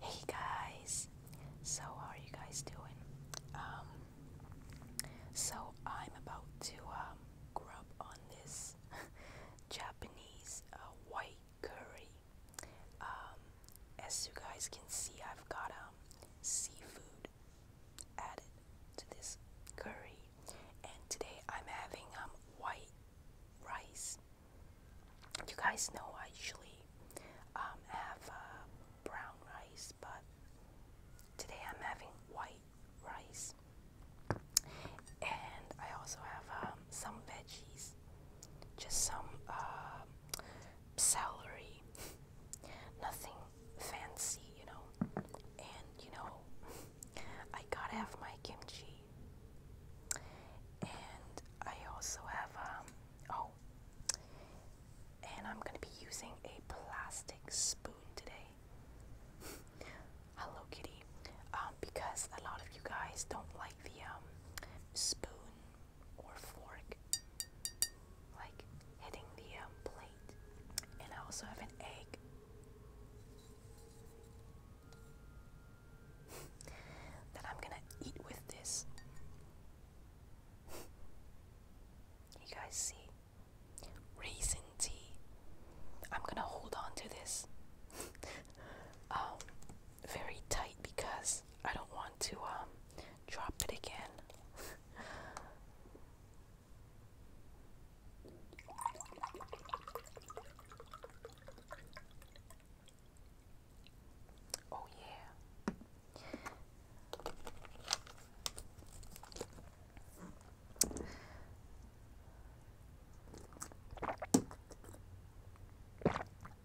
Hey guys, so how are you guys doing? Um, so I'm about to um, grub on this Japanese uh, white curry. Um, as you guys can see, I've got um, seafood added to this curry, and today I'm having um, white rice. You guys know I usually um, have uh, brown rice, but today I'm having white rice, and I also have um, some veggies, just some uh, salary, nothing fancy, you know. And you know, I gotta have my kimchi, and I also have um oh, and I'm gonna be using a plastic spoon today. Hello Kitty, um, because a lot of you guys don't like the um spoon or fork, like hitting the um, plate. And I also have an egg. that I'm gonna eat with this. you guys see? Raisin tea. I'm gonna hold on to this um, very tight because I don't want to um, Drop it again. oh, yeah.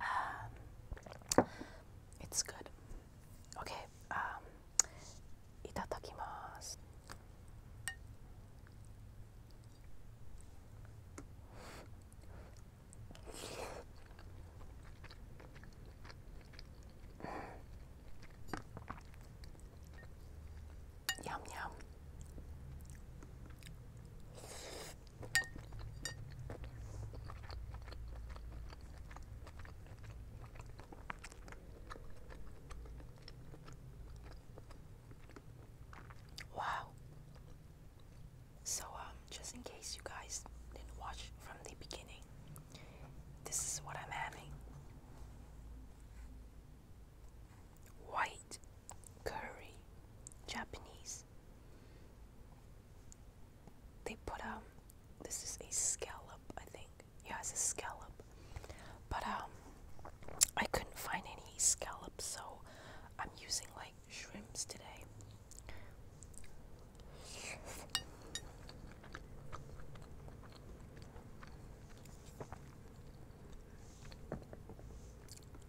Um, it's good. Okay. Um, itadakimasu. yum yum. Wow. So, um, just in case you guys didn't watch from the beginning, this is what I'm having white curry, Japanese they put um, this is a scallop I think yeah it's a scallop but um, I couldn't find any scallops so I'm using like shrimps today.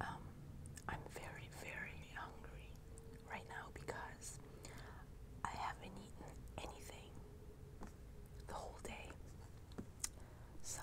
Um, I'm very, very hungry right now because I haven't eaten anything the whole day. So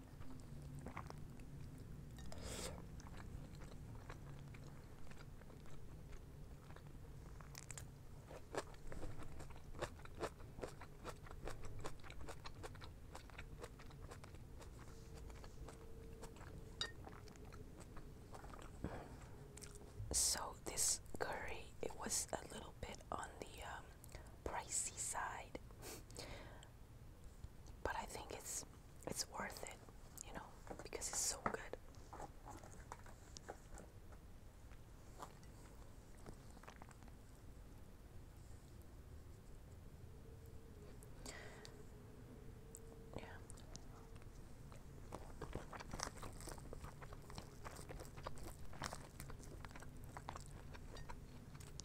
So this curry it was a little bit on the um, pricey side But I think it's it's worth it, you know, because it's so good. Yeah.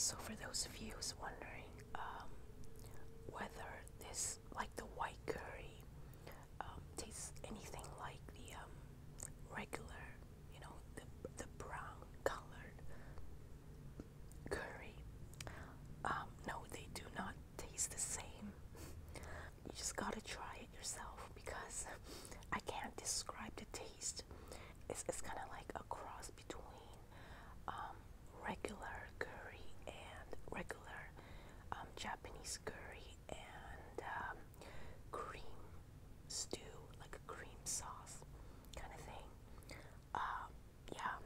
So for those of you who's wondering um, whether this, like the white curry, um, tastes anything like the um, regular you know, the, the brown colored curry. Um, no, they do not taste the same. You just gotta try it yourself because I can't describe the taste. It's, it's kind of like a cross between um, regular curry and regular um, Japanese curry and um, cream stew, like a cream sauce kind of thing. Uh, yeah,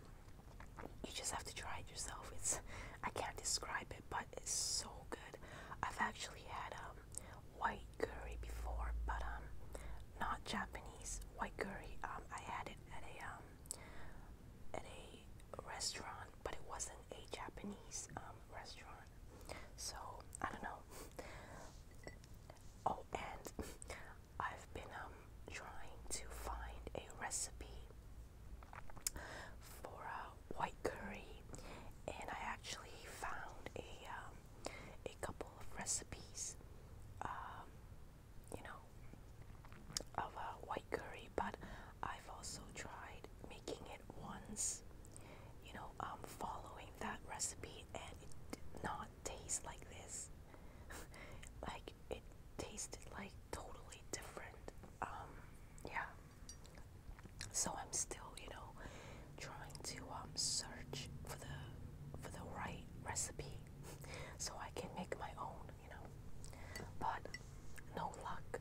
you just have to try it yourself. It's I can't describe it, but it's so good. I've actually had um, white curry before, but um, not Japanese white curry. Um, I had it at a um, at a restaurant, but it wasn't a Japanese um, restaurant. So, I don't know. Oh, and I've been um trying to find a recipe for uh, white curry, and I actually found a um, a couple of recipes, um, you know, of uh, white curry. But I've also tried making it once, you know, I'm following that recipe and it did not taste like this. like it tasted like totally different. Um, yeah. So I'm still, you know, trying to um search for the for the right recipe so I can make my own, you know. But no luck.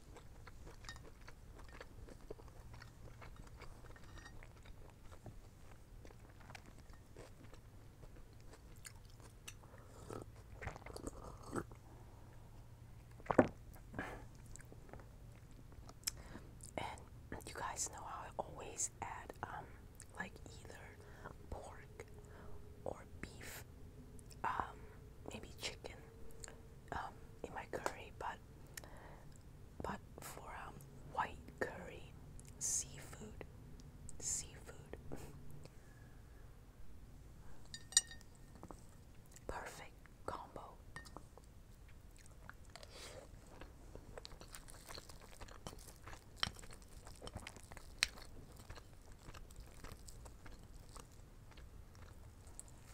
And you guys know how I always add um like either pork or beef um, maybe chicken um, in my curry, but but for um, white curry, seafood, seafood, perfect combo.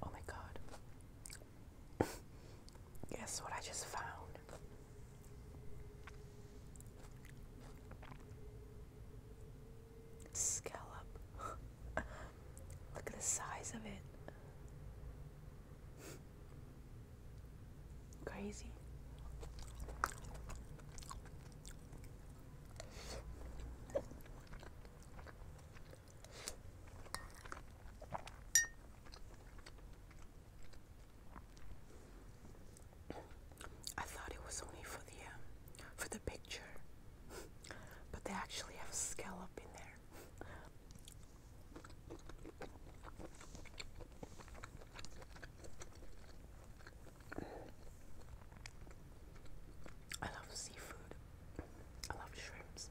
Oh, my God. Guess what I just found? Scallop. Look at the size of it. Crazy. I thought it was only for the um, for the picture, but they actually have scallop in there. I love seafood. I love shrimps.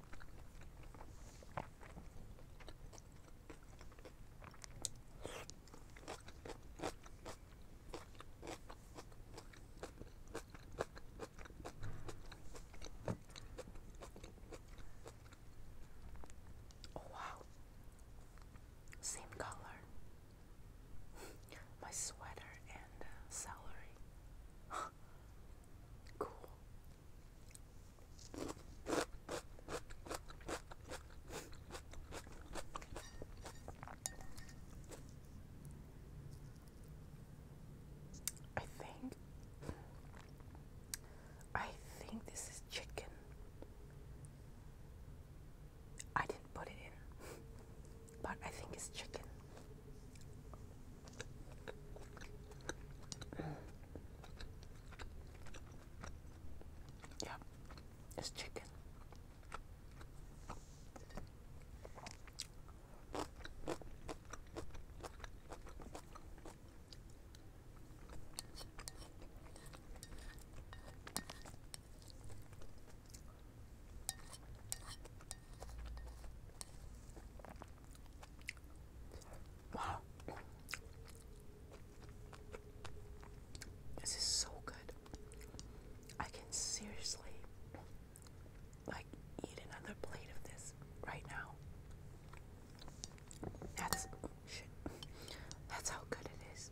Oh, wow, same color. My sweater and uh, celery. I think I think this is chicken. I didn't put it in, but I think it's chicken. Yep, it's chicken. This is so good. I can seriously like eat another plate of this right now. That's That's how good it is.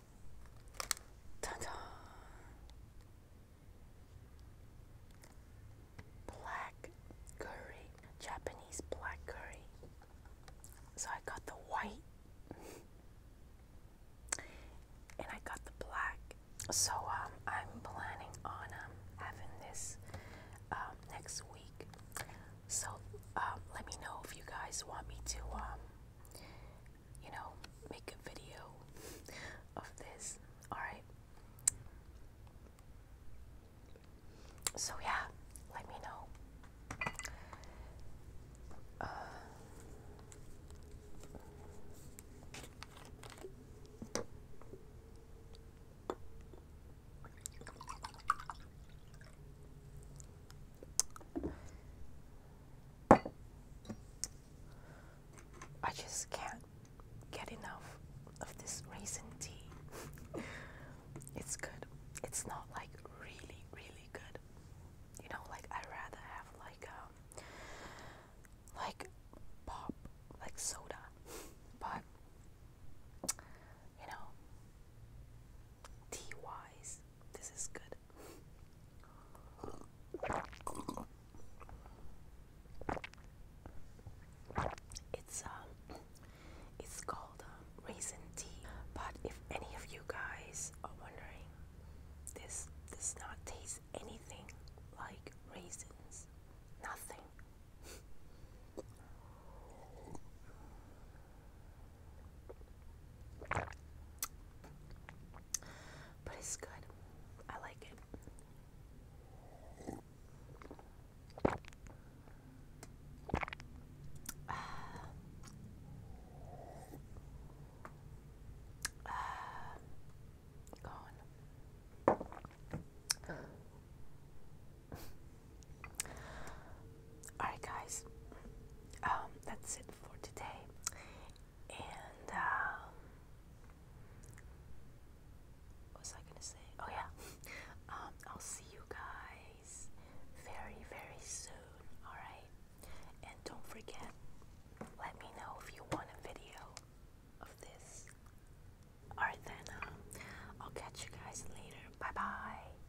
Ta-da! Black curry, Japanese black curry. So I got the white and I got the black. So um, I'm planning on um, having this um, next week. So um, let me know if you guys want me to, um, you know, make a video of this. All right. So yeah, let me know. Uh, I just can't get enough of this raisin tea. it's good. It's not like really, really good. You know, like I rather have like um like pop, like soda. But you know, tea wise, this is good. It's um, it's called uh, raisin tea. But if any of you guys are wondering, this does not taste anything like raisins. Nothing. But it's good. I like it. Uh, ah. uh, ah. gone. Alright, guys, um, that's it for today, and uh, what was I gonna say? Oh, yeah, um, I'll see you guys very, very soon, alright? And don't forget, let me know if you want a video of this. Alright, then, uh, I'll catch you guys later. Bye bye.